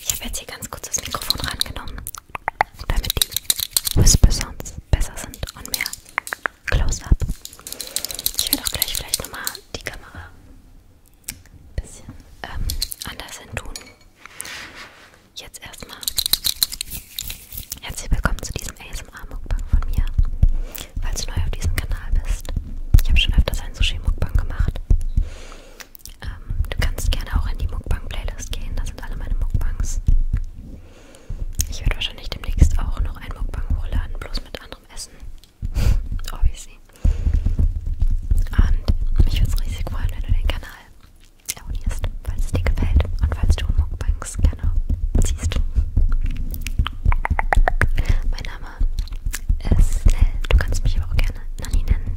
Ich habe jetzt hier ganz kurz das Mikrofon rangenommen, damit die Whisper Sounds besser sind und mehr Close-Up. Ich werde auch gleich vielleicht nochmal die Kamera ein bisschen ähm, anders hin tun. Jetzt erstmal herzlich willkommen zu diesem ASMR-Mukbang von mir. Falls du neu auf diesem Kanal bist, ich habe schon öfters einen Sushi-Mukbang gemacht. Ähm, du kannst gerne auch in die Mukbang-Playlist gehen, da sind alle meine Mukbangs. Ich werde wahrscheinlich demnächst auch noch ein Mukbang hochladen, bloß mit anderem Essen. Obviously. Und mich würde es riesig freuen, wenn du den Kanal abonnierst, falls es dir gefällt und falls du Mukbangs gerne siehst. Mein Name ist Nell. Du kannst mich aber auch gerne Nanni nennen.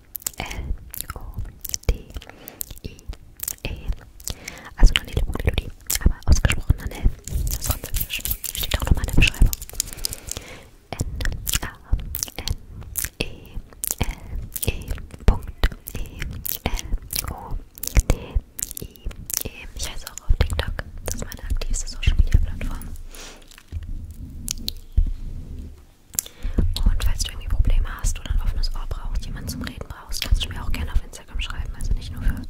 L-O-D-I-E. Also Nanelle Melodie, aber ausgesprochen Nanelle. Das Französisch steht auch nochmal in der Beschreibung. N-A-N-E-L-E-E-L-O-D-I-E. E e e. Ich heiße auch auf TikTok. Das ist meine aktivste Social Media Plattform. Und falls du irgendwie Probleme hast oder ein offenes Ohr brauchst, jemanden zum Reden brauchst, kannst du mir auch gerne auf Instagram schreiben. Also nicht nur für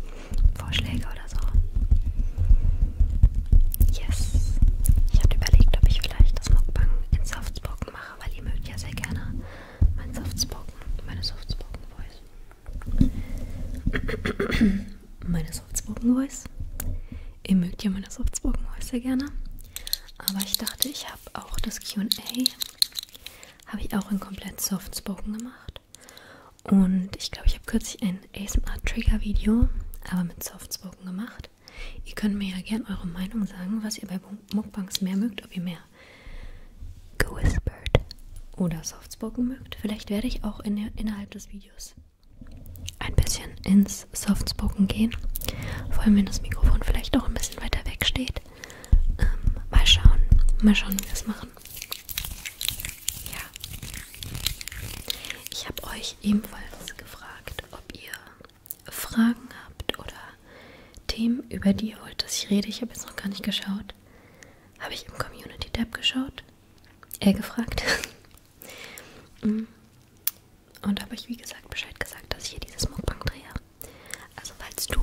Vorschläge oder so. Yes. Ich habe überlegt, ob ich vielleicht das Mukbang in Softspoken mache, weil ihr mögt ja sehr gerne mein Softspoken, meine Softspoken-Voice. meine Softspoken-Voice. Ihr mögt ja meine Softspoken-Voice sehr gerne. Aber ich dachte, ich habe auch das QA, habe ich auch in komplett Soft Spoken gemacht. Und ich glaube, ich habe kürzlich ein ASMR-Trigger-Video, aber mit Soft Spoken gemacht. Ihr könnt mir ja gerne eure Meinung sagen, was ihr bei Mukbangs mehr mögt, ob ihr mehr gewhispered oder Soft Spoken mögt. Vielleicht werde ich auch in, innerhalb des Videos ein bisschen in ins Softspoken gehen. Vor allem, wenn das Mikrofon vielleicht auch ein bisschen weiter weg steht. Ähm, mal schauen. Mal schauen, wie wir es machen. Ja. Ich habe euch ebenfalls gefragt, ob ihr Fragen habt oder Themen, über die ihr wollt, dass ich rede. Ich habe jetzt noch gar nicht geschaut. Habe ich im Community-Tab geschaut? Er gefragt. Mm. Und da habe ich, wie gesagt, Bescheid gesagt, dass ich hier dieses Mukbang drehe. Also, falls du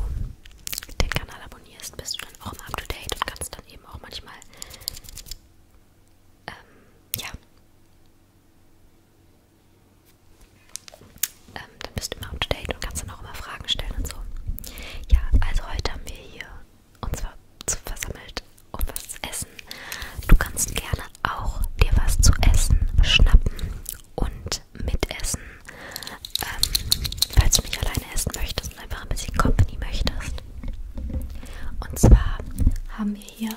den Kanal abonnierst, bist du dann auch mal up to date und kannst dann eben auch manchmal. Ähm, ja. Ähm, dann bist du immer up to date und kannst dann auch immer Fragen stellen und so. Ja, also heute haben wir hier uns ver versammelt, um was zu essen. Du kannst gerne auch dir was zu essen schnappen und Mitessen. Ähm, falls du nicht alleine essen möchtest und einfach ein bisschen Company möchtest. Und zwar haben wir hier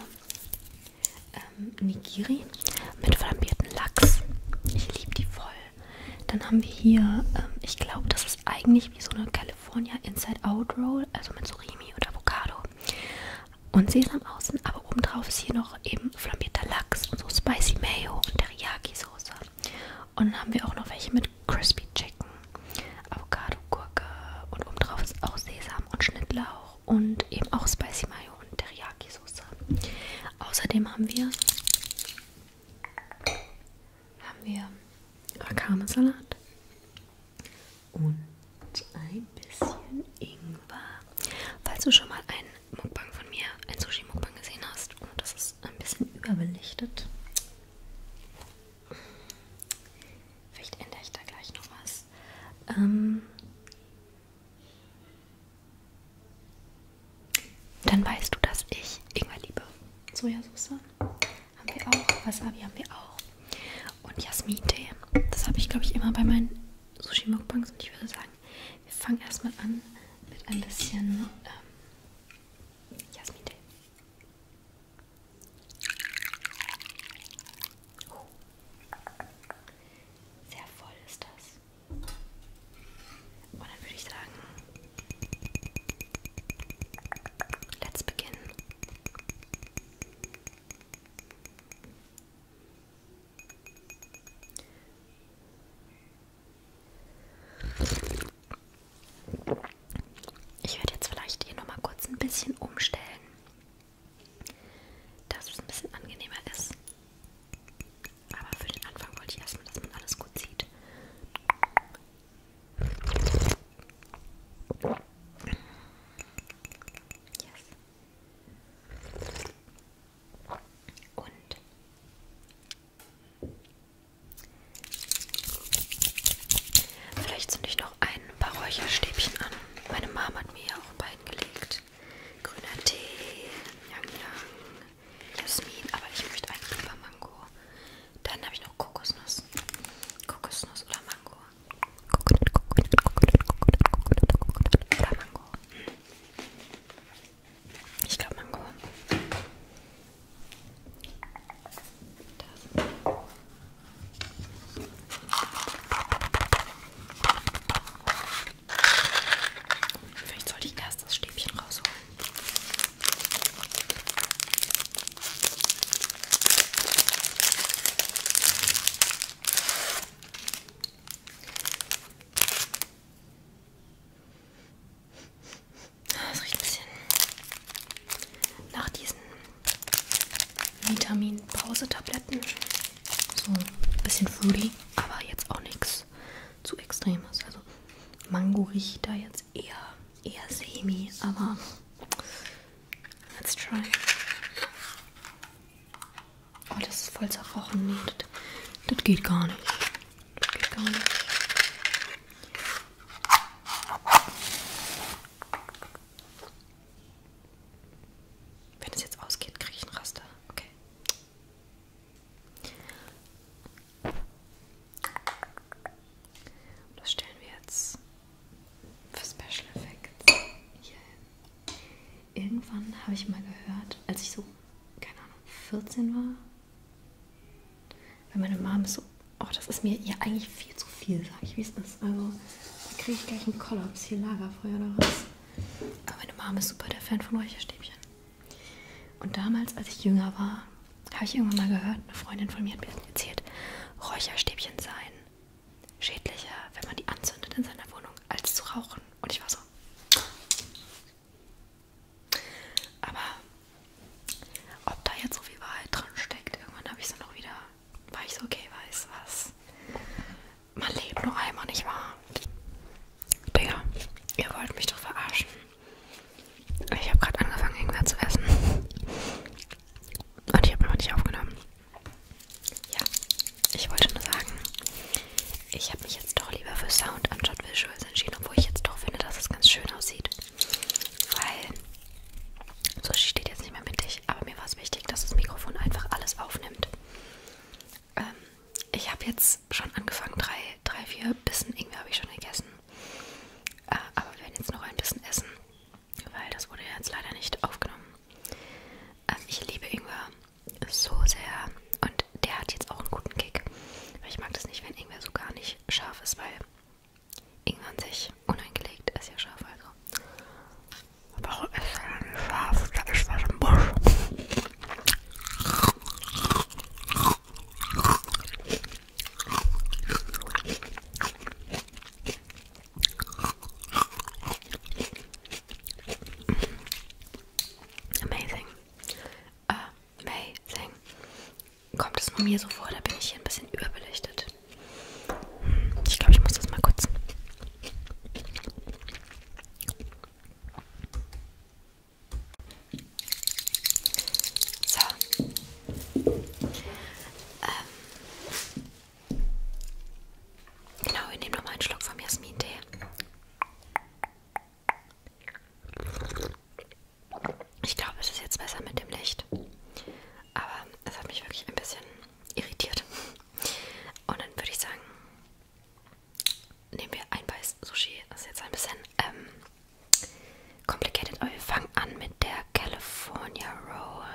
ähm, Nigiri mit flambierten Lachs. Ich liebe die voll. Dann haben wir hier, ähm, ich glaube, das ist eigentlich wie so eine California Inside Out Roll, also mit Surimi und Avocado und Sesam außen, aber obendrauf ist hier noch eben flammierter Lachs und so Spicy Mayo und Teriyaki-Soße. Und dann haben wir auch noch welche mit Crispy Chicken, Avocado, Gurke und obendrauf ist auch Sesam und Schnittlauch und eben auch Spicy Mayo und Teriyaki-Soße. Außerdem haben wir haben wir Akame-Salat und und ein bisschen Ingwer. Falls du schon mal einen Mukbang von mir, ein Sushi-Mukbang gesehen hast und das ist ein bisschen überbelichtet, vielleicht ändere ich da gleich noch was. Ähm, dann weißt du, dass ich Ingwer liebe. Sojasauce haben wir auch, Wasabi haben wir auch und Jasmin-Tee. Das habe ich, glaube ich, immer bei meinen Sushi-Mukbangs und ich würde sagen, wir fangen erstmal an mit ein bisschen ähm, Jasmin-Tee. Oh. Sehr voll ist das. Und dann würde ich sagen, let's begin. Ich werde jetzt vielleicht hier nochmal kurz ein bisschen umstellen, dass es ein bisschen angenehmer ist. Aber für den Anfang wollte ich erstmal, dass man alles gut sieht. Yes. Und vielleicht zünde ich noch ein paar Räucherstäbchen an. Meine Mama hat mir ja auch ein paar hingelegt. Grüner Tee, Yang Yang, Jasmin, aber ich möchte einen Pfeffermango. Dann habe ich noch Kokosnuss. Kokosnuss oder Mango. Coconut, Coconut, Coconut, Coconut, Coconut, Coconut oder Mango. Ich glaube Mango. Das. Vielleicht sollte ich erst das Stäbchen rausholen. Das riecht ein bisschen nach diesen Vitamin-Pause-Tabletten. So ein bisschen fruity, aber jetzt auch nichts zu extremes. Also Mango riecht da jetzt eher, eher semi, aber let's try. Oh, das ist voll zerrochen. Nee, das, das geht gar nicht. Das geht gar nicht. Wenn es jetzt ausgeht, kriege ich einen Raster. Okay. Das stellen wir jetzt für Special Effects hier hin irgendwann habe ich mal gehört, als ich so, keine Ahnung, 14 war, weil meine Mom ist so, oh, das ist mir ja eigentlich viel zu viel, sag ich, wie es ist. Also, da kriege ich gleich einen Kollaps, hier Lagerfeuer oder was. Aber meine Mom ist super der Fan von Räucherstäbchen. Und damals, als ich jünger war, habe ich irgendwann mal gehört, eine Freundin von mir hat mir erzählt, Räucherstäbchen seien schädlicher, wenn man die anzündet in seiner Wohnung, als zu rauchen. Und ich war so. Aber ob da jetzt so viel Wahrheit drin steckt, irgendwann habe ich so noch wieder, war ich so, okay, weiß was. Man lebt nur einmal, nicht wahr? Digga, ihr wollt mich doch verarschen. Ich habe gerade angefangen, irgendwas zu essen. Und ich habe noch nicht aufgenommen. Ja, ich wollte nur sagen, ich habe mich jetzt doch lieber für Sound anstatt Visuals entschieden, obwohl ich jetzt doch finde, dass es ganz schön aussieht. Weil so steht jetzt nicht mehr mittig, aber mir war es wichtig, dass das Mikrofon einfach alles aufnimmt. Ähm, ich habe jetzt schon angefangen, drei, drei vier Bissen Ingwer habe ich schon gegessen. Äh, aber wir werden jetzt noch ein bisschen essen, weil das wurde jetzt leider nicht aufgenommen. Also ich liebe Ingwer so sehr und der hat jetzt auch einen guten Kick. Aber ich mag das nicht, wenn Ingwer so gar nicht scharf ist, weil Ingwer an sich uneingelegt ist ja scharf. Also. Warum ist er nicht scharf? Da ist was im Busch. Amazing. Amazing. Kommt es nur mir so vor, da bin ich hier ein bisschen überbelichtet. Ich glaube, ich muss das mal kurz. So. Ähm, Genau, wir nehmen nochmal einen Schluck vom Jasmin-Tee. Ich glaube, es ist jetzt besser mit dem Licht. Aber es hat mich wirklich ein bisschen irritiert. Und dann würde ich sagen, nehmen wir ein Beiß Sushi. Das ist jetzt ein bisschen ähm, complicated, aber wir fangen an mit der California Roll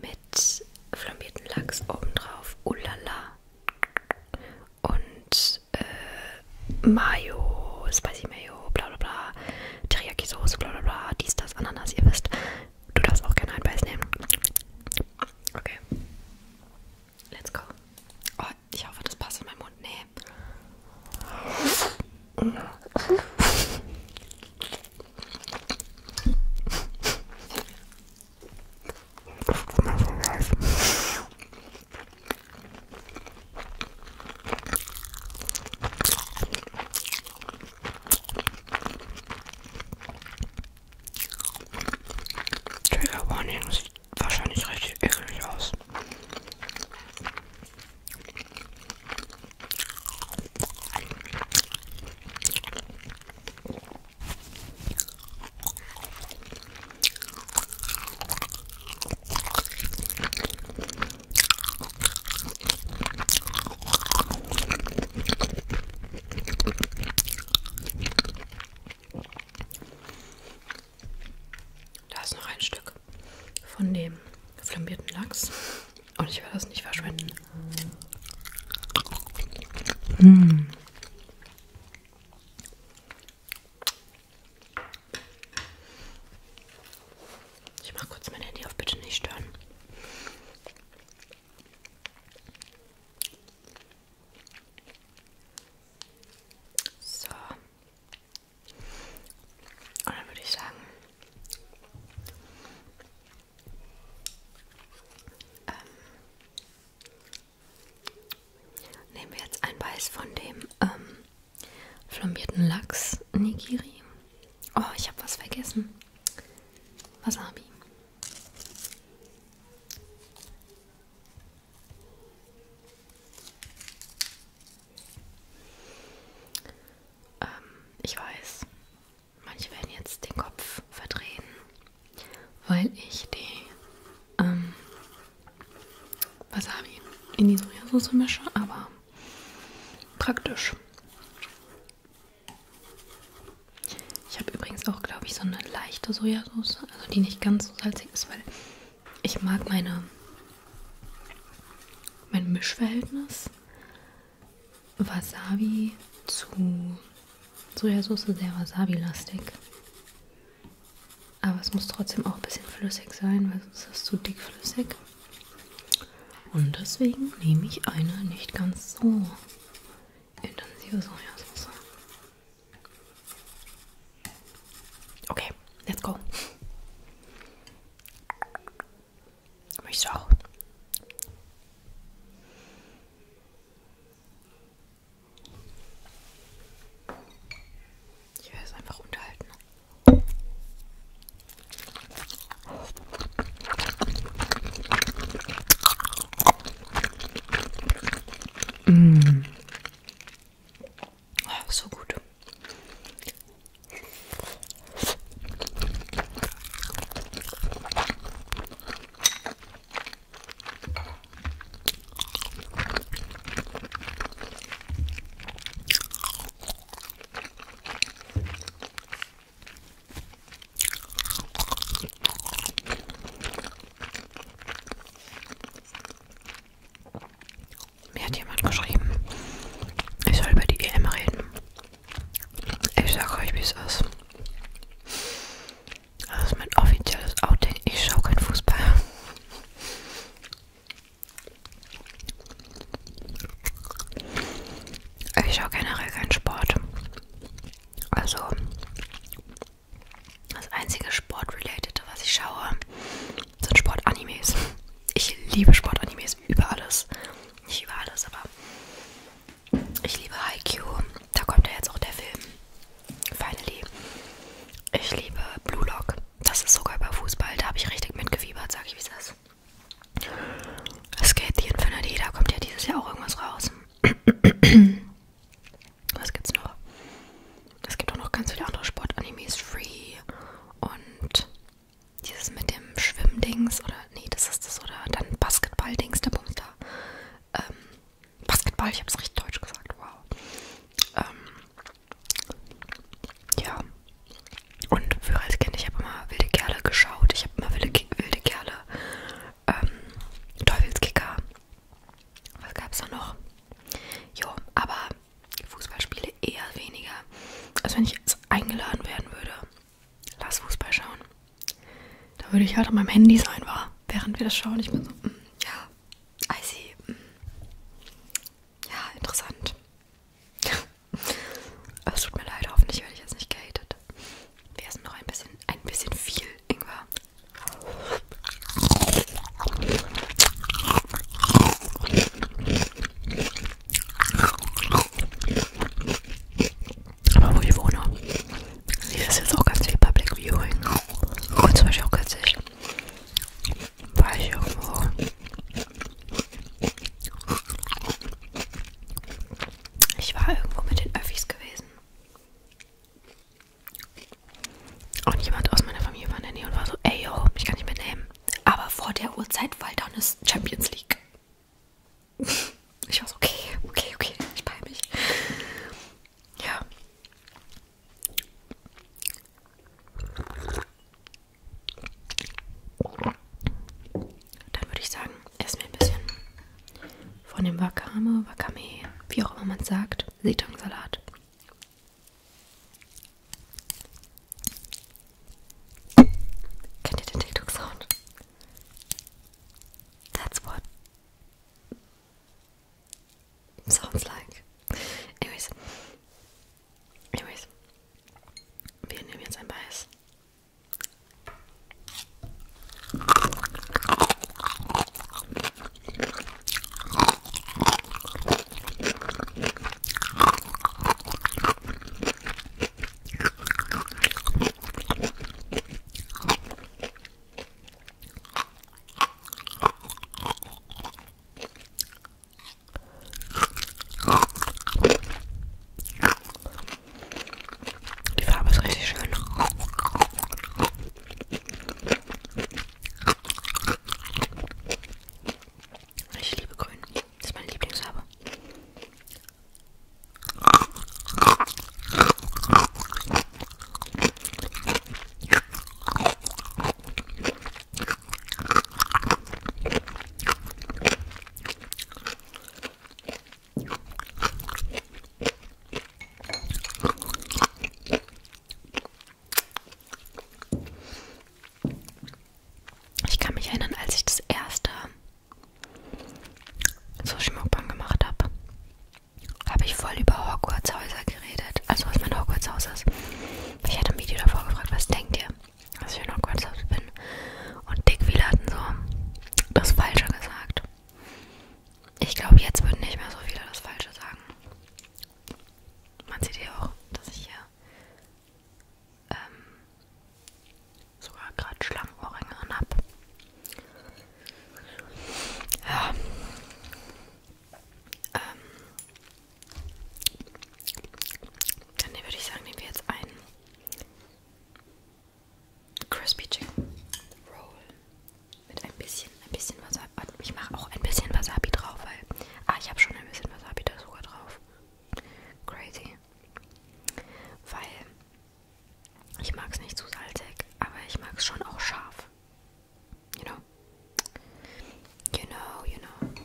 mit flambierten Lachs obendrauf, ulala und äh, Mayo, Spicy Mayo, bla bla bla, Teriyaki-Soße, bla bla bla, dies, das, Ananas, ihr wisst. Du darfst auch gerne ein Beiß nehmen. Okay. Let's go. Oh, ich hoffe, das passt in meinen Mund. Nee. Trigger Warning sieht wahrscheinlich richtig eklig aus. Da ist noch ein Stück von dem flambierten Lachs. Und ich will das nicht verschwenden. Hm. Ich mach kurz mein Handy auf, bitte nicht stören. So. Und dann würde ich sagen, ähm, nehmen wir jetzt ein Beiß von dem ähm, flambierten Lachs Nigiri. Oh, ich habe was vergessen. Wasabi. Ähm, ich weiß, Manche werden jetzt den Kopf verdrehen, weil ich die ähm, Wasabi in die Sojasauce mische, aber praktisch. Ich habe übrigens auch, glaube ich, so eine leichte Sojasauce, also die nicht ganz so salzig ist, weil ich mag meine mein Mischverhältnis Wasabi zu Sojasauce sehr wasabi-lastig. Aber es muss trotzdem auch ein bisschen flüssig sein, weil sonst ist es zu dickflüssig. Und deswegen nehme ich eine nicht ganz so intensive Sojasauce. Okay, let's go. Mich so. Ich werde es einfach unterhalten. Mm. Oh, so gut. Mir hat jemand geschrieben, ich soll über die EM reden. Ich sag euch, wie es ist. Also, das ist mein offizielles Outing. Ich schaue kein Fußball. Ich schaue generell keinen Sport. Also, das einzige Sport-Related, was ich schaue, sind Sportanimes. Ich liebe Sportanimes über alles. Nicht über alles, aber ich liebe Haikyuu. Da kommt ja jetzt auch der Film. Finally. Ich liebe Blue Lock. Das ist sogar über Fußball. Da habe ich richtig mitgefiebert, sag ich, wie es ist. Skate the Infinity. Da kommt ja dieses Jahr auch irgendwas raus. Was gibt's noch? Es gibt auch noch ganz viele andere Sportanimes. Free und dieses mit dem Schwimmdings oder nee, das ist das oder dann Basketball-Dings, der Bums da. Ähm, Basketball, ich hab's richtig deutsch gesagt, wow. Ähm, ja. Und früher als Kind, ich habe immer wilde Kerle geschaut. Ich habe immer wilde, wilde Kerle. Ähm, Teufelskicker. Was gab's da noch? Jo, aber Fußballspiele eher weniger. Also wenn ich jetzt eingeladen werden würde, lass Fußball schauen. Da würde ich halt an meinem Handy sein, war, während wir das schauen. Ich bin so, mm, ja, I see. Mm. Ja, interessant. Aber es tut mir leid, hoffentlich werde ich jetzt nicht gehatet. Wir essen noch ein bisschen, ein bisschen viel, Ingwer. Aber wo ich wohne, hier ist jetzt auch ganz viel Public Viewing. Und zum Beispiel auch kürzlich war ich irgendwo ich war irgendwo mit den Öffis gewesen. Und jemand aus meiner Familie war in der Nähe und war so, ey yo, ich kann nicht mitnehmen. Aber vor der Uhrzeit war da eine Champions League. Ich war so, okay, okay, okay, ich bei mich. Ja. Dann würde ich sagen, essen wir ein bisschen von dem Wakame, Wakame, wie auch immer man es sagt, Seetangsalat. Kennt ihr den TikTok-Sound? That's what sounds like. Anyways. Anyways. Wir bias. Die Farbe ist richtig schön. Ich liebe Grün. Das ist meine Lieblingsfarbe. Ich kann mich erinnern, als ich das erste so Schmuckbahn gemacht habe, habe ich voll über Hogwarts Häuser geredet. Also was mein Hogwarts Haus ist. Ich hatte im Video davor gefragt, was denkt ihr, dass ich in Hogwarts Haus bin? Und Dick Wheeler hatten so das Falsche gesagt. Ich glaube, jetzt würden nicht mehr so viele das Falsche sagen. Man sieht ja auch, dass ich hier ähm, sogar gerade Schlangenohrringe an habe. Ja. Ähm, dann würde ich sagen, nehmen wir jetzt einen Crispy Chicken Roll mit ein bisschen, ein bisschen Wasabi. Ich mache auch ein bisschen Wasabi drauf, weil ah, ich habe schon ein bisschen Wasabi da sogar drauf. Crazy. Chili. Weil ich mag es nicht zu salzig, aber ich mag es schon auch scharf. You know? You know, you know.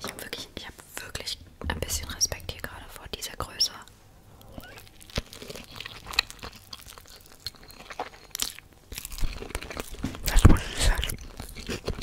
Ich habe wirklich, ich habe wirklich ein bisschen Respekt hier gerade vor dieser Größe. Das muss ich sagen.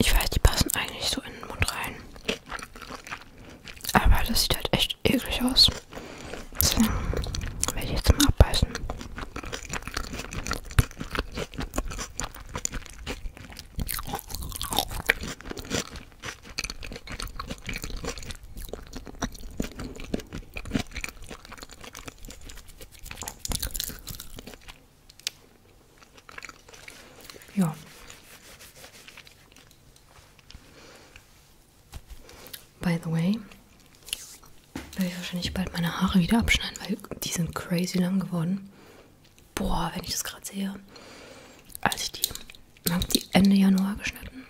Ich weiß, die passen eigentlich so in den Mund rein. Aber das sieht halt echt eklig aus. Deswegen werde ich jetzt mal abbeißen. Ja. By the way, werde ich wahrscheinlich bald meine Haare wieder abschneiden, weil die sind crazy lang geworden boah, wenn ich das gerade sehe, als ich die, habe die Ende Januar geschnitten.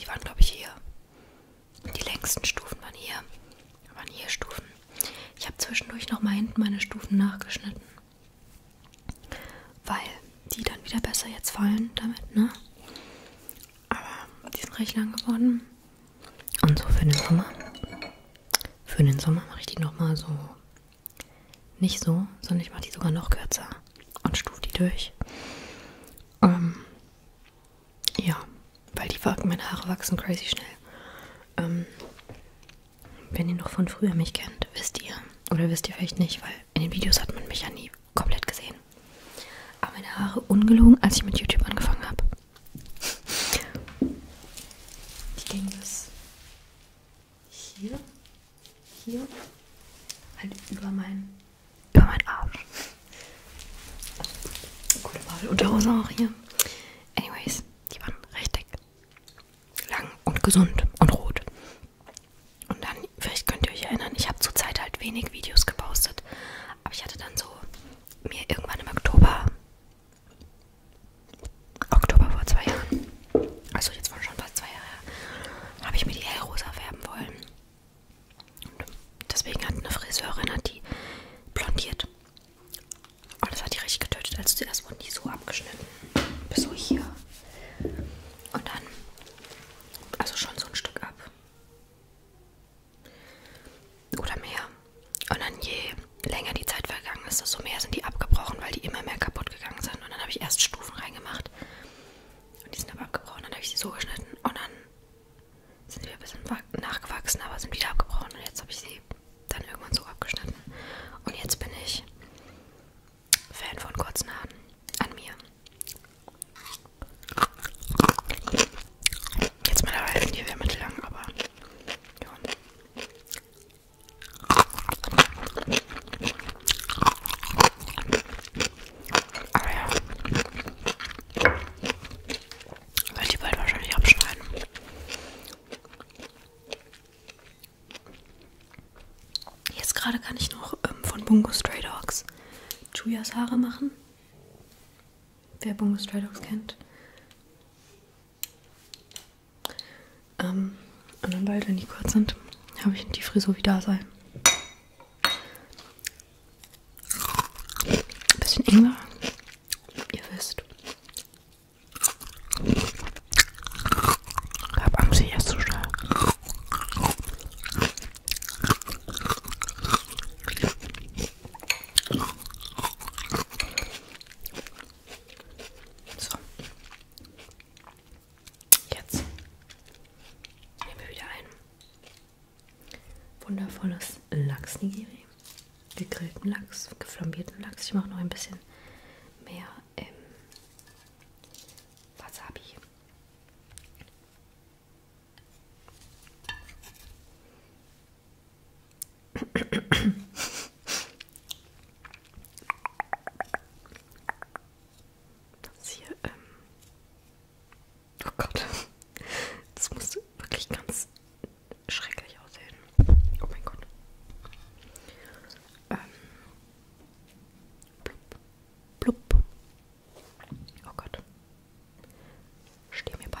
Die waren, glaube ich, hier. Die längsten Stufen waren hier. Waren hier Stufen. Ich habe zwischendurch noch mal hinten meine Stufen nachgeschnitten. Weil die dann wieder besser jetzt fallen damit, ne? Aber die sind recht lang geworden. Und so für den Sommer. Für den Sommer mache ich die nochmal so nicht so, sondern ich mache die sogar noch kürzer und stufe die durch. Ähm, ja, weil die meine Haare wachsen crazy schnell. Ähm, wenn ihr noch von früher mich kennt, wisst ihr. Oder wisst ihr vielleicht nicht, weil in den Videos hat man mich ja nie komplett gesehen. Aber meine Haare ungelogen, als ich mit YouTube angefangen habe. Die gehen bis hier, hier, halt über meinen, über meinen Arsch. Gute Wahl, Unterhose auch hier. Anyways, die waren recht dick, lang und gesund und rot. Und dann, vielleicht könnt ihr euch erinnern, ich habe zurzeit halt wenig Videos gepostet, aber ich hatte dann so mir irgendwann im Oktober Oktober vor zwei Jahren, also jetzt waren schon fast zwei Jahre, habe ich mir die hellrosa färben wollen. Und deswegen hat eine Friseurin hat die blondiert. Und das hat die richtig getötet. Also zuerst wurden die so abgeschnitten, bis so hier. Und dann, also schon so ein Stück ab. Oder mehr. Und dann je länger die Zeit vergangen ist, desto mehr sind die abgebrochen, weil die immer mehr kaputt gegangen sind. Und dann habe ich erst Stufen reingemacht. Und die sind aber abgebrochen. Dann habe ich sie so geschnitten und dann sind sie ein bisschen nachgewachsen, aber sind wieder abgebrochen. Und jetzt habe ich sie dann irgendwann so abgeschnitten. Und jetzt bin ich Fan von kurzen Haaren an mir. Jetzt mittlerweile sind die wieder mittellang, aber ja. Aber ja. Will die bald wahrscheinlich abschneiden. Jetzt gerade kann ich noch ähm, von Bungo Stray Dogs Chuyas Haare machen. Wer Bungo Stray Dogs kennt. Ähm, und dann beide, wenn die kurz sind, habe ich die Frisur wieder sein. Ein bisschen enger, ihr wisst. Ich habe Angst, ich esse zu schnell. So. Jetzt nehmen wir wieder ein wundervolles Lachs-Nigiri. Gegrillten Lachs, geflambierten Lachs. Ich mache noch ein bisschen mehr ähm, Wasabi. Das hier, ähm. Oh Gott. Das muss wirklich ganz schrecklich aussehen. Oh mein Gott. Ähm. Blub. Blub. Oh Gott. Steh mir bei.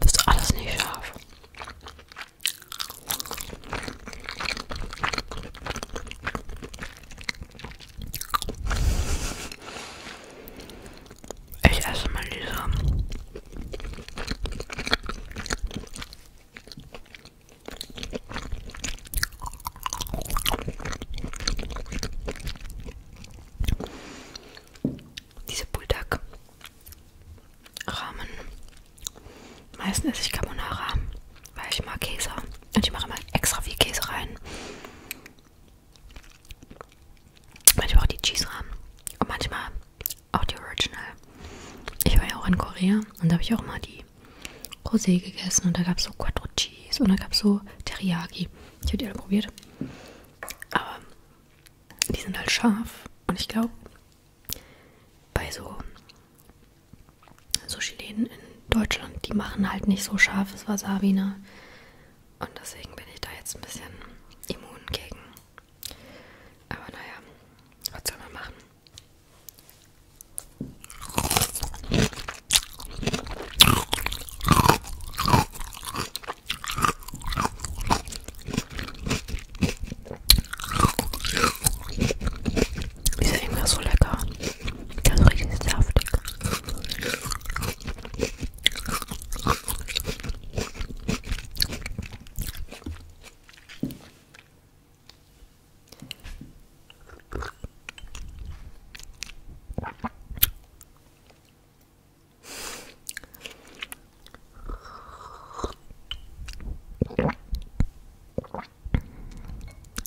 Das ist alles nicht scharf. Ich esse mal die Samen. Diese Bulldog Rahmen. Meistens esse ich Carbonara, weil ich mag Käse. Und ich mache immer extra viel Käse rein. Manchmal auch die Cheese Rahmen. Und manchmal auch die Original. Ich war ja auch in Korea und da habe ich auch mal die Rosé gegessen und da gab es so Quattro Cheese und da gab es so Teriyaki. Ich habe die alle probiert. Aber die sind halt scharf und ich glaube, bei so Sushi-Läden in Deutschland, die machen halt nicht so scharfes Wasabi, ne? Und deswegen bin ich da jetzt ein bisschen immun gegen. Aber naja, was soll man machen? Ist ja immer so lecker. Das ist richtig saftig.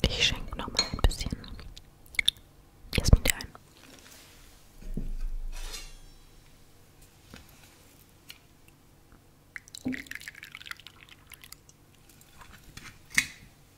Ich schenke noch mal ein bisschen Jasmin dir ein.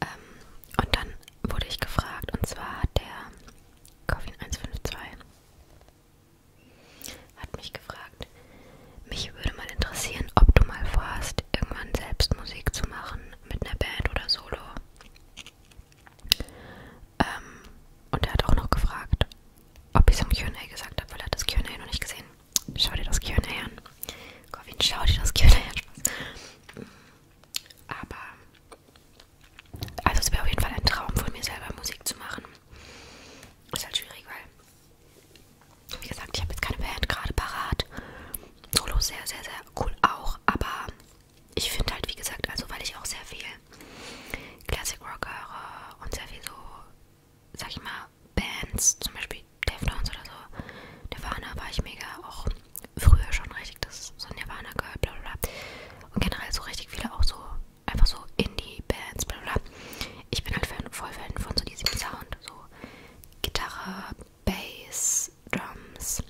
Ähm, und dann wurde ich gefragt, und zwar hat der Coffin 152 hat mich gefragt, mich würde mal interessieren, ob du mal vorhast, irgendwann selbst Musik zu machen mit einer Band oder Solo. Ähm, und er hat auch noch gefragt, ob ich es im QA gesagt habe, weil er hat das QA noch nicht gesehen. Schau dir das QA an. Corvin, schau dir das QA an. Aber also es wäre auf jeden Fall ein Traum von mir selber Musik zu machen. Ist halt schwierig, weil, wie gesagt, ich habe jetzt keine Band gerade parat. Solo sehr, sehr, sehr cool auch, aber ich finde halt, wie gesagt, also weil ich auch sehr viel Classic Rock höre und sehr viel so, sag ich mal, Bands, zum Beispiel Deftones oder so, Nirvana war ich mega auch früher schon richtig das so Nirvana Girl, bla bla bla. Und generell so richtig viele auch so, einfach so Indie-Bands, bla bla. Ich bin halt Fan, voll Fan von so diesem Sound, so Gitarre, Bass, Drums.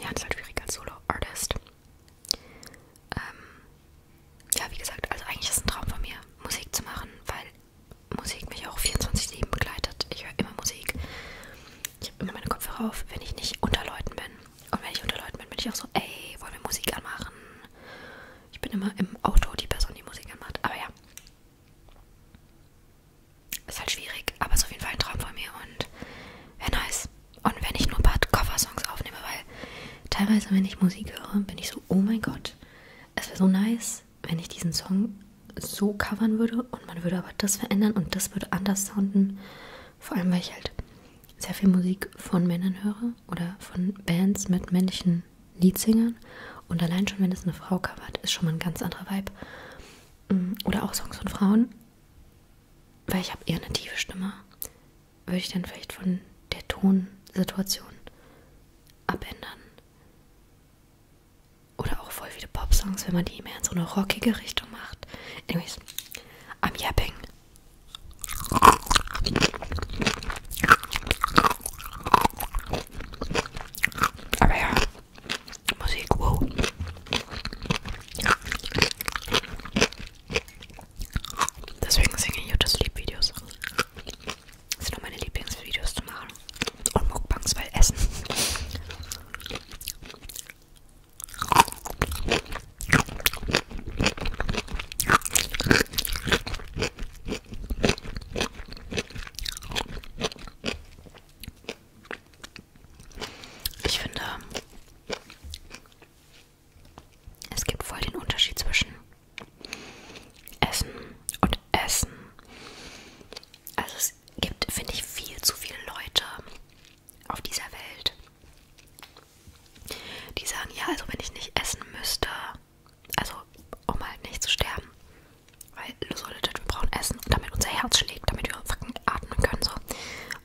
Ja, das ist halt schwierig als Solo-Artist. Ähm, ja, wie gesagt, also eigentlich ist es ein Traum von mir, Musik zu machen, weil Musik mich auch 24-7 begleitet. Ich höre immer Musik. Ich habe immer meine Kopfhörer auf, wenn ich nicht unter Leuten bin. Und wenn ich unter Leuten bin, bin ich auch so, ey, wollen wir Musik anmachen? Ich bin immer im Auto die Person, die Musik anmacht. Aber ja. Ist halt schwierig, aber ist auf jeden Fall ein Traum von mir und wäre nice. Und wenn ich nur ein paar Cover-Songs aufnehme, weil teilweise, wenn ich Musik höre, bin ich so, oh mein Gott, es wäre so nice, wenn ich diesen Song so covern würde und man würde aber das verändern und das würde anders sounden. Vor allem, weil ich halt sehr viel Musik von Männern höre oder von Bands mit männlichen Leadsingern. Und allein schon, wenn es eine Frau covert, ist schon mal ein ganz anderer Vibe. Mm, oder auch Songs von Frauen, weil ich habe eher eine tiefe Stimme, würde ich dann vielleicht von der Tonsituation abändern. Oder auch voll viele Pop-Songs, wenn man die mehr in so eine rockige Richtung macht. Anyways, I'm yapping. Aber ja, Musik, wow. Deswegen singe ich YouTube Sleep Videos. Das sind nur meine Lieblingsvideos zu machen. Und Mukbangs, weil Essen. Ich finde, es gibt voll den Unterschied zwischen Essen und Essen. Also es es gibt, finde ich, viel zu viele Leute auf dieser Welt, die sagen, ja, also wenn ich nicht essen müsste, also um halt nicht zu sterben, weil so Leute, wir brauchen Essen, damit unser Herz schlägt, damit wir fucking atmen können, so,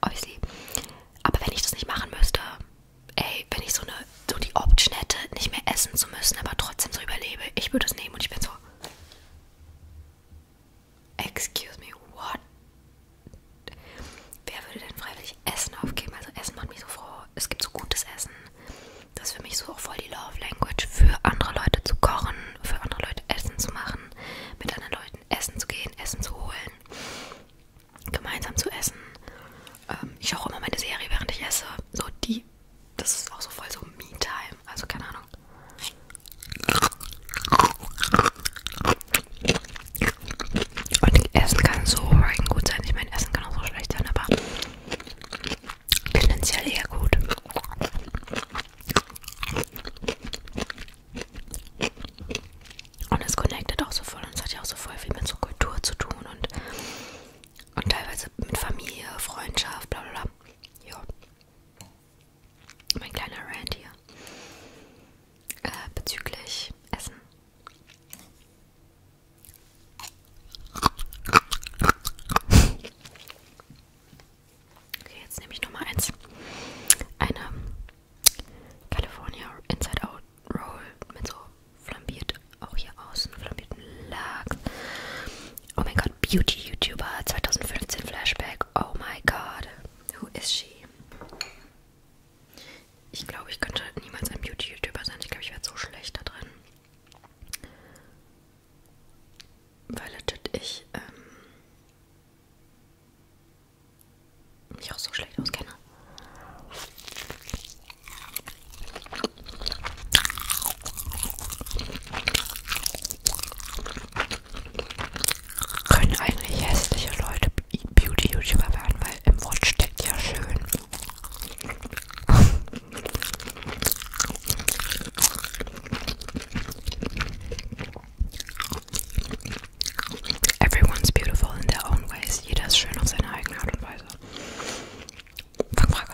obviously. Aber wenn ich das nicht machen müsste, ey, wenn ich so eine, so die Option hätte, nicht mehr essen zu müssen, aber trotzdem so überlebe, ich würde es nehmen und ich bin so, Excuse me, what? Wer würde denn freiwillig Essen aufgeben? Also Essen macht mich so froh. Es gibt so gutes Essen. Das ist für mich so auch voll die Love Language, für andere Leute zu kochen, für andere Leute Essen zu machen, mit anderen Leuten essen zu gehen, Essen zu holen, gemeinsam zu essen. Ähm, ich schaue immer meine Serie, während ich esse. So die, das ist auch so voll so Me-Time. Also keine Ahnung. Und Essen kann so gut sein. Ich meine, Essen kann auch so schlecht sein, aber tendenziell eher gut. Und es connectet auch so voll und es hat ja auch so voll viel mit so Kultur zu tun und, und teilweise mit Familie, Freundschaft, bla bla bla. Ja mein kleiner Rand hier äh, bezüglich Essen. Okay, jetzt nehme ich Nummer eins. Eine California Inside Out Roll mit so flambiert, auch hier außen flambiertem Lachs Oh mein Gott, Beauty-YouTuber 2015 Flashback. Oh my God, who is she? Ich glaube, ich könnte niemals ein Beauty-YouTuber sein. Ich glaube, ich werde so schlecht da drin. Weil legit ich ähm, mich auch so schlecht auskenne können eigentlich hässliche Leute Beauty-YouTuber werden, weil im Wort steckt ja schön. Everyone's beautiful in their own ways. Jeder ist schön auf seine eigene Art und Weise. Fangfrage.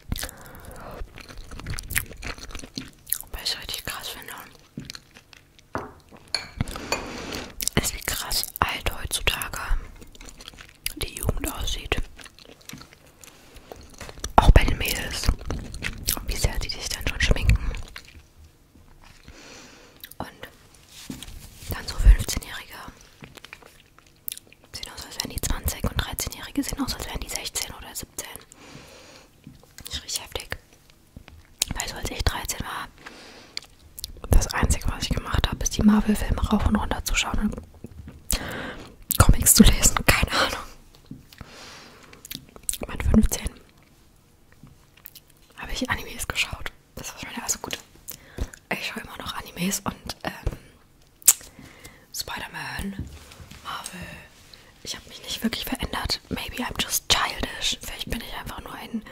Weil ich richtig krass finde. Ist wie krass alt heutzutage die Jugend aussieht. Auch bei den Mädels. Wie sehr die sich dann schon schminken. Und dann so 15-Jährige Sehen aus, als wären die 20 und 13-Jährige sehen aus, als wären die 16 oder 17. Das ist richtig heftig. Weil so als ich 13 war, das Einzige, was ich gemacht habe, ist die Marvel-Filme rauf und runter zu schauen und Comics zu lesen. Keine Ahnung. Mit 15 habe ich Animes geschaut. Das war schon wieder also gut. Ich schaue immer noch Animes und ähm, Spider-Man, Marvel. Ich habe mich nicht wirklich verändert. Maybe I'm just childish. Vielleicht bin ich einfach nur ein,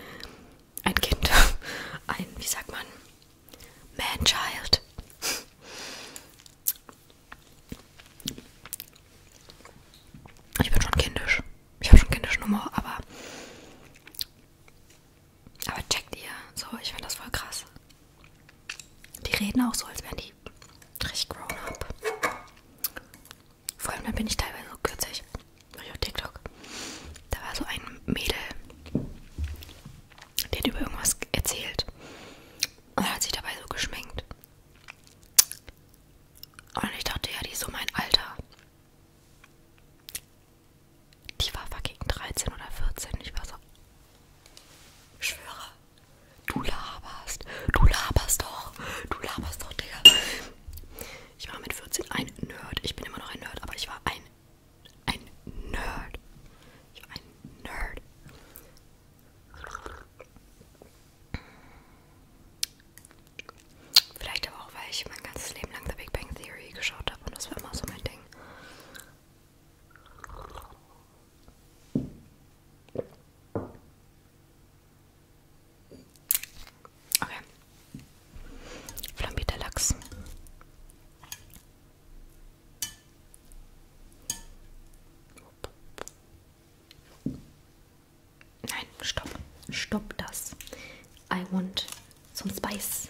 ein Kind. Ein, wie sagt man? Man-Child. Ich bin schon kindisch. Ich habe schon kindische Nummer, aber aber checkt ihr, so, ich finde das voll krass. Die reden auch so, als wären die richtig grown up. Vor allem, dann bin ich teilweise so kürzlich, war ich auf TikTok, da war so ein Mädel, die hat über irgendwas erzählt und dann hat sich dabei so geschminkt. Und ich dachte, ja, die ist so mein Alter. Die war fucking 13 oder 14. Ich war so. Ich schwöre. Du laberst. Du laberst doch. Du laberst doch, Digga. Ich war mit 14 ein Nerd. Ich bin immer noch ein Nerd, aber ich war ein. Ein Nerd. Ich war ein Nerd. Vielleicht aber auch, weil ich mein ganzes Leben lang The Big Bang Theory geschaut habe und das war immer so mein Ding. Okay. Flambierter Lachs. Nein, stopp. Stopp das. I want some spice.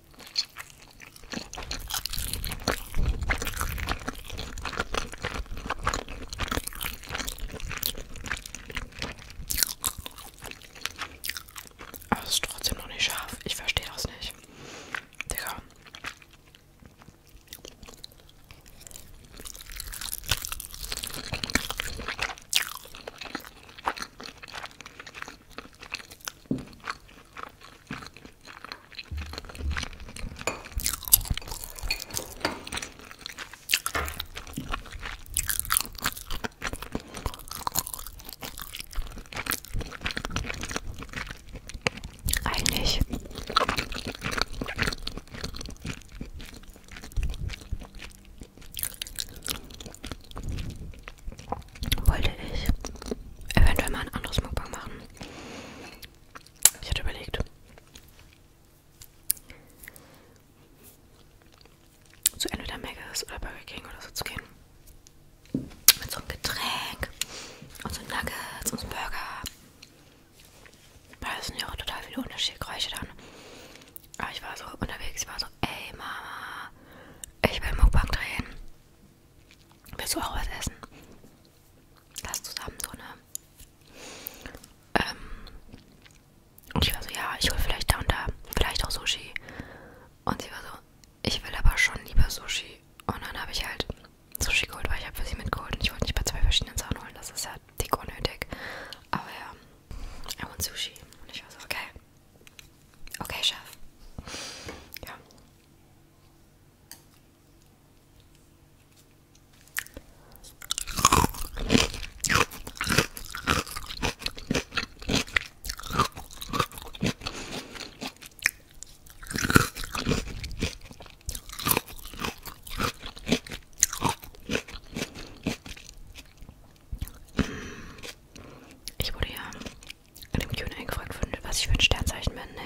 Aber es ist trotzdem noch nicht scharf. Ich verstehe das nicht. Digga. Eigentlich wollte ich eventuell mal ein anderes Mukbang machen. Ich hatte überlegt. Zu entweder Megas oder Burger King oder so zu gehen. Mit so einem Getränk und so Nuggets und so Burger. Weil es sind ja auch total viele unterschiedliche Geräusche dann. Aber ich war so unterwegs, ich war so, ey Mama, ich will Mukbang drehen. Willst du auch was essen? Lass zusammen so, ne? Ähm, und ich war so, ja, ich hole vielleicht da und da, vielleicht auch Sushi. Und sie war so, ich will aber schon lieber Sushi. Und dann habe ich halt Sushi geholt, weil ich habe für sie mitgeholt und ich wollte nicht bei zwei verschiedenen Sachen holen. Das ist ja dick unnötig. Aber ja, I want Sushi. Und ich war so, okay, Okay, chef. Yeah. Ich wurde ja in dem Q&A gefragt wurde, was ich für ein Sternzeichen bin. Nee.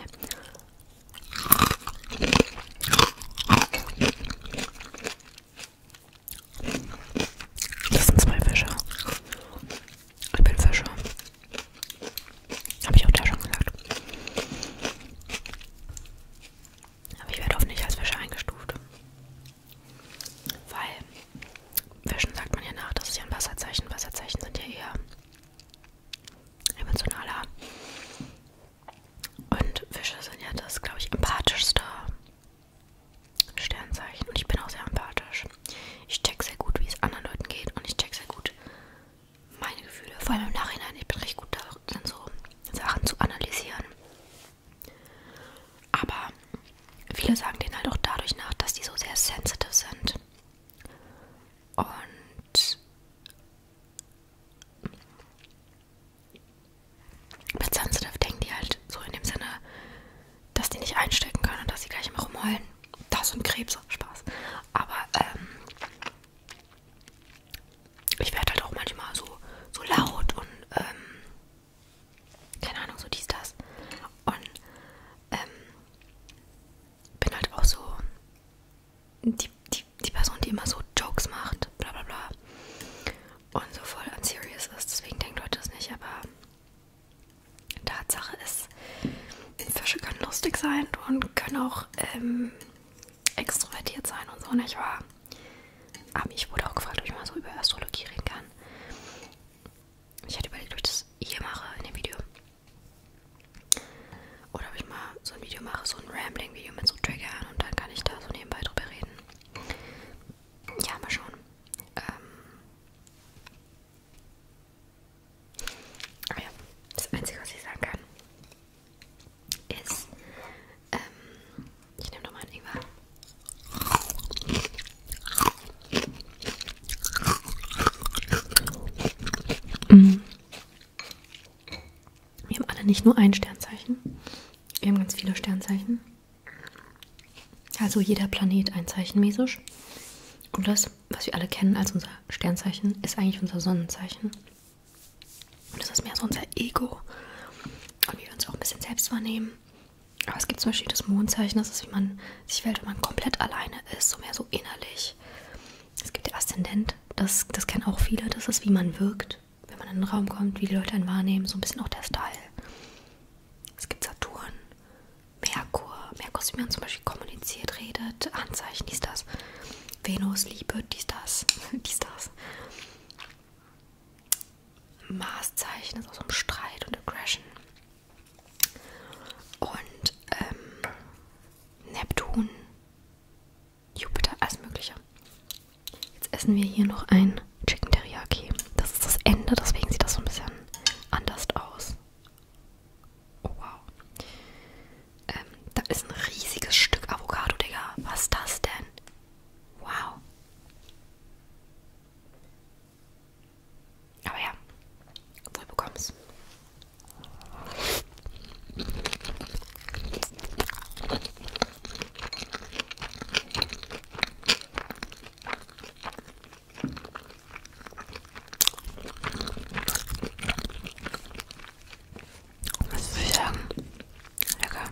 Das sind zwei Fische. Ich bin Fische. Habe ich auch da schon gesagt. Aber ich werde oft nicht als Fische eingestuft. Weil Fischen sagt man ja nach, das ist ja ein Wasserzeichen. Wasserzeichen sind ja eher emotionaler. Und Fische sind ja das, glaube ich, empathischste Sternzeichen. Und ich bin auch sehr empathisch. Ich check sehr gut, wie es anderen Leuten geht. Und ich check sehr gut meine Gefühle. Vor allem im Nachhinein. Ich bin recht gut darin, so Sachen zu analysieren. Aber viele sagen denen halt auch dadurch nach, dass die so sehr sensitive sind. Und mit sensitive denken die halt so in dem Sinne, dass die nicht einstecken können und dass sie gleich immer rumheulen. Das und Krebs, Spaß. Aber ähm, ich werde halt auch manchmal so, so laut und ähm, keine Ahnung, so dies, das. Und ähm, bin halt auch so die, die, die Person, die immer so Jokes macht, bla bla bla. Und so voll unserious ist, deswegen denkt Leute das nicht, aber Tatsache ist, Fische können lustig sein und können auch ähm, extrovertiert sein und so, nicht wahr? Aber ich wurde auch gefragt, ob ich mal so über Astrologie reden kann. Ich hatte überlegt, ob ich das hier mache in dem Video. Oder ob ich mal so ein Video mache, so ein Rambling-Video mit so Triggern und dann kann ich da so nebenbei drüber reden. Ja, mal schauen. Ähm. Ah ja, das Einzige, was ich sagen kann, ist, ähm, ich nehme nochmal einen Ingwer. Mhm. Wir haben alle nicht nur ein Sternzeichen. Wir haben ganz viele Sternzeichen. Also jeder Planet ein Zeichen mäßig. Und das, was wir alle kennen als unser Sternzeichen, ist eigentlich unser Sonnenzeichen. Und das ist mehr so unser Ego. Und wie wir uns auch ein bisschen selbst wahrnehmen. Aber es gibt zum Beispiel das Mondzeichen, das ist, wie man sich fällt, wenn man komplett alleine ist, so mehr so innerlich. Es gibt der Aszendent, das, das kennen auch viele, das ist, wie man wirkt, wenn man in den Raum kommt, wie die Leute einen wahrnehmen, so ein bisschen auch der Style. Es gibt Saturn, Merkur, Merkur ist, wie man zum Beispiel kommuniziert, redet, Anzeichen, dies, das. Venus, Liebe, dies, das, dies, das. Marszeichen ist aus so einem Streit und Aggression. Und ähm, Neptun, Jupiter, alles Mögliche. Jetzt essen wir hier noch ein Chicken Teriyaki. Das ist das Ende, deswegen sieht das so ein bisschen anders aus. Oh wow. Ähm, da ist ein riesiges Stück Avocado, Digga. Was ist das denn? Wow. Aber ja, wohl bekommst. Was soll ich sagen? Lecker.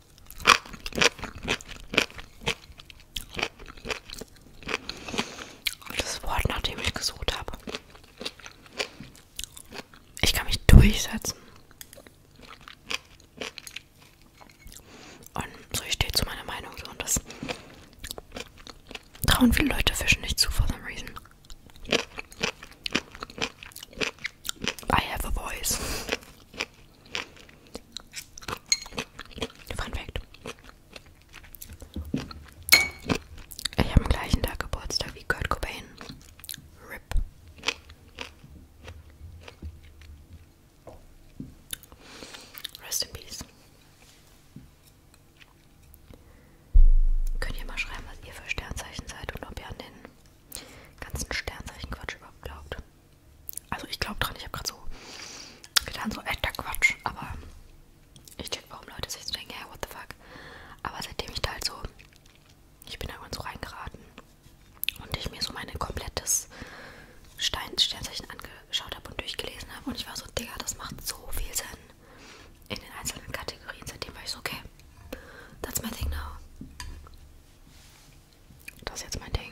Das Wort, nach dem ich gesucht habe. Ich kann mich durchsetzen. Und so steht zu meiner Meinung so und das trauen viele Leute Fischen nicht zu for some reason. I have a voice. Fun Fact. Ich habe am gleichen Tag Geburtstag wie Kurt Cobain. RIP. Rest in Peace. Könnt ihr mal schreiben, was ihr für Sternzeichen seid und ob ihr an den ganzen Sternzeichen-Quatsch überhaupt glaubt. Also ich glaube dran, ich habe gerade so getan, so echter Quatsch, aber ich check, warum Leute sich so denken, ja, hey, what the fuck. Aber seitdem ich da halt so, ich bin da irgendwann so reingeraten und ich mir so mein komplettes Stein, Sternzeichen angeschaut habe und durchgelesen habe und ich war so, Digga, das macht so viel Sinn in den einzelnen Kategorien. Seitdem war ich so, okay, that's my thing now. Das ist jetzt mein Ding.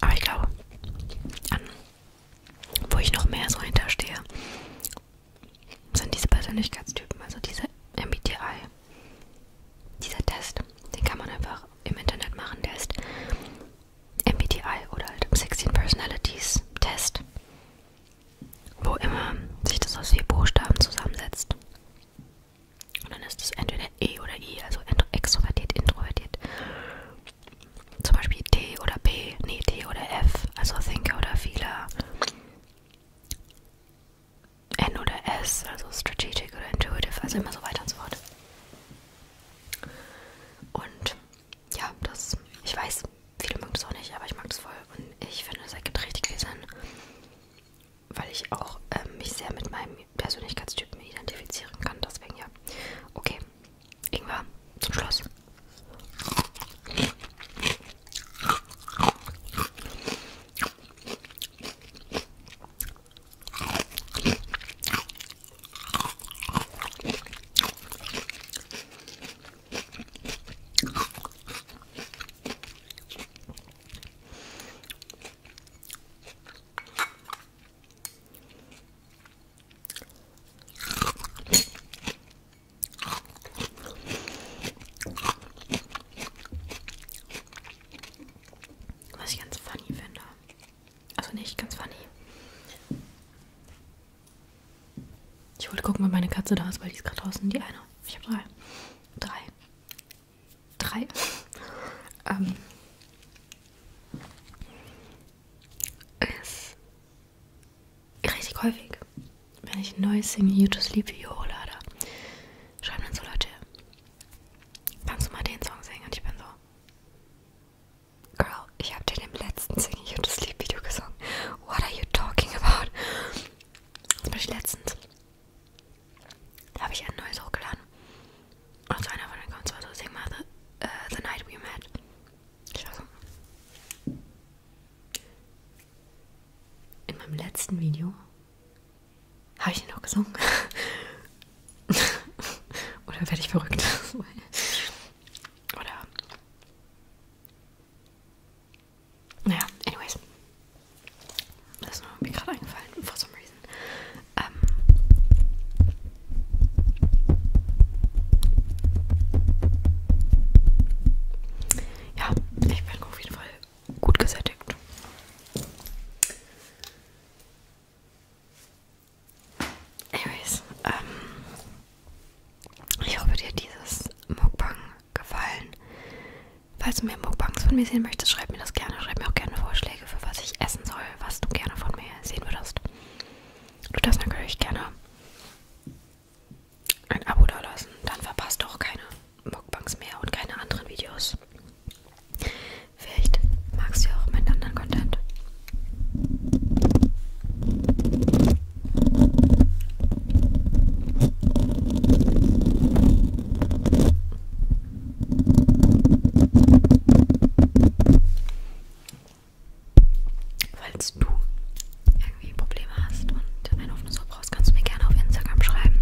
Aber ich glaube, an, wo ich noch mehr so hinterstehe, sind diese Persönlichkeitstypen, also diese MBTI. Dieser Test, den kann man einfach im Internet machen, der ist MBTI oder halt 16 Personalities Test wo immer sich das aus vier Buchstaben zusammensetzt. Und dann ist es entweder E oder I, also extrovertiert, introvertiert. Zum Beispiel T oder B, nee, T oder F, also Thinker oder Feeler. N oder S, also Strategic oder Intuitive, also immer so weiter und so fort. Und ja, das, ich weiß, viele mögen das auch nicht, aber ich mag das voll und ich finde, es ergibt richtig viel Sinn, weil ich auch ähm, mich sehr mit meinem Persönlichkeitstypen identifizieren kann, deswegen ja. Okay, Ingwer, zum Schluss. Was ich ganz funny finde. Also nicht ganz funny. Ich wollte gucken, wenn meine Katze da ist, weil die ist gerade draußen. Die eine. Ich habe drei. Drei. Drei. ähm. Ist richtig häufig, wenn ich ein neues Sing You to Sleep You hole, oder schreiben dann so Leute, kannst du mal den Song singen? Und ich bin so, Girl, ich habe dir im letzten Sing You to Sleep Video gesungen. What are you talking about? Das bin ich letztens. Da habe ich ein neues hochgeladen. Und also einer von den kommt zwar so, sing mal the, uh, the Night We Met. Ich war so. In meinem letzten Video habe ich ihn noch gesungen. Oder werde ich verrückt? Oder Yeah. anyways. Das ist mir gerade eingefallen, for some reason. Ähm. Ja, ich bin auf jeden Fall gut Anyways, ähm, ich hoffe, dir hat dieses Mukbang gefallen. Falls du mehr Mukbangs von mir sehen möchtest, schreib mir das gerne. Schreib mir auch gerne Vorschläge, für was ich essen soll, was du gerne von mir sehen würdest. Du darfst natürlich gerne ein Abo dalassen, dann verpasst du auch keine Mukbangs mehr und keine anderen Videos. Vielleicht magst du ja auch meinen anderen Content. Falls du irgendwie Probleme hast und ein offenes Ohr brauchst, kannst du mir gerne auf Instagram schreiben.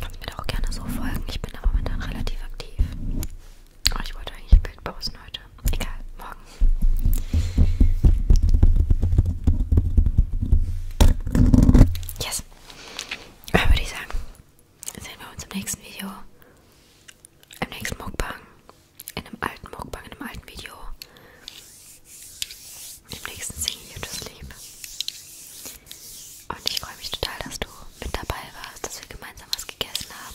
Kannst mir da auch gerne so folgen. Ich bin da momentan relativ aktiv. Oh, ich wollte eigentlich ein Bild posten heute. Egal, morgen. Yes. Dann würde ich sagen, sehen wir uns im nächsten Video. Im nächsten Mukbang. In einem alten Mukbang, in einem alten Video. Im nächsten Single YouTube Leben. Und ich freue mich total, dass du mit dabei warst, dass wir gemeinsam was gegessen haben.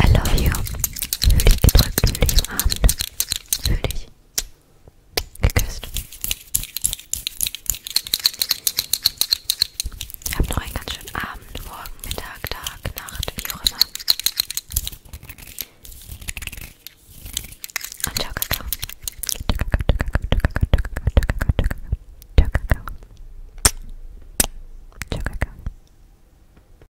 I love you. Fühl dich gedrückt, fühl dich umarmt. Fühl dich geküsst. Habt noch einen ganz schönen Abend, Morgen, Mittag, Tag, Nacht, wie auch immer. Und ciao, Kakao. Ciao, Kakao. Ciao, Kakao.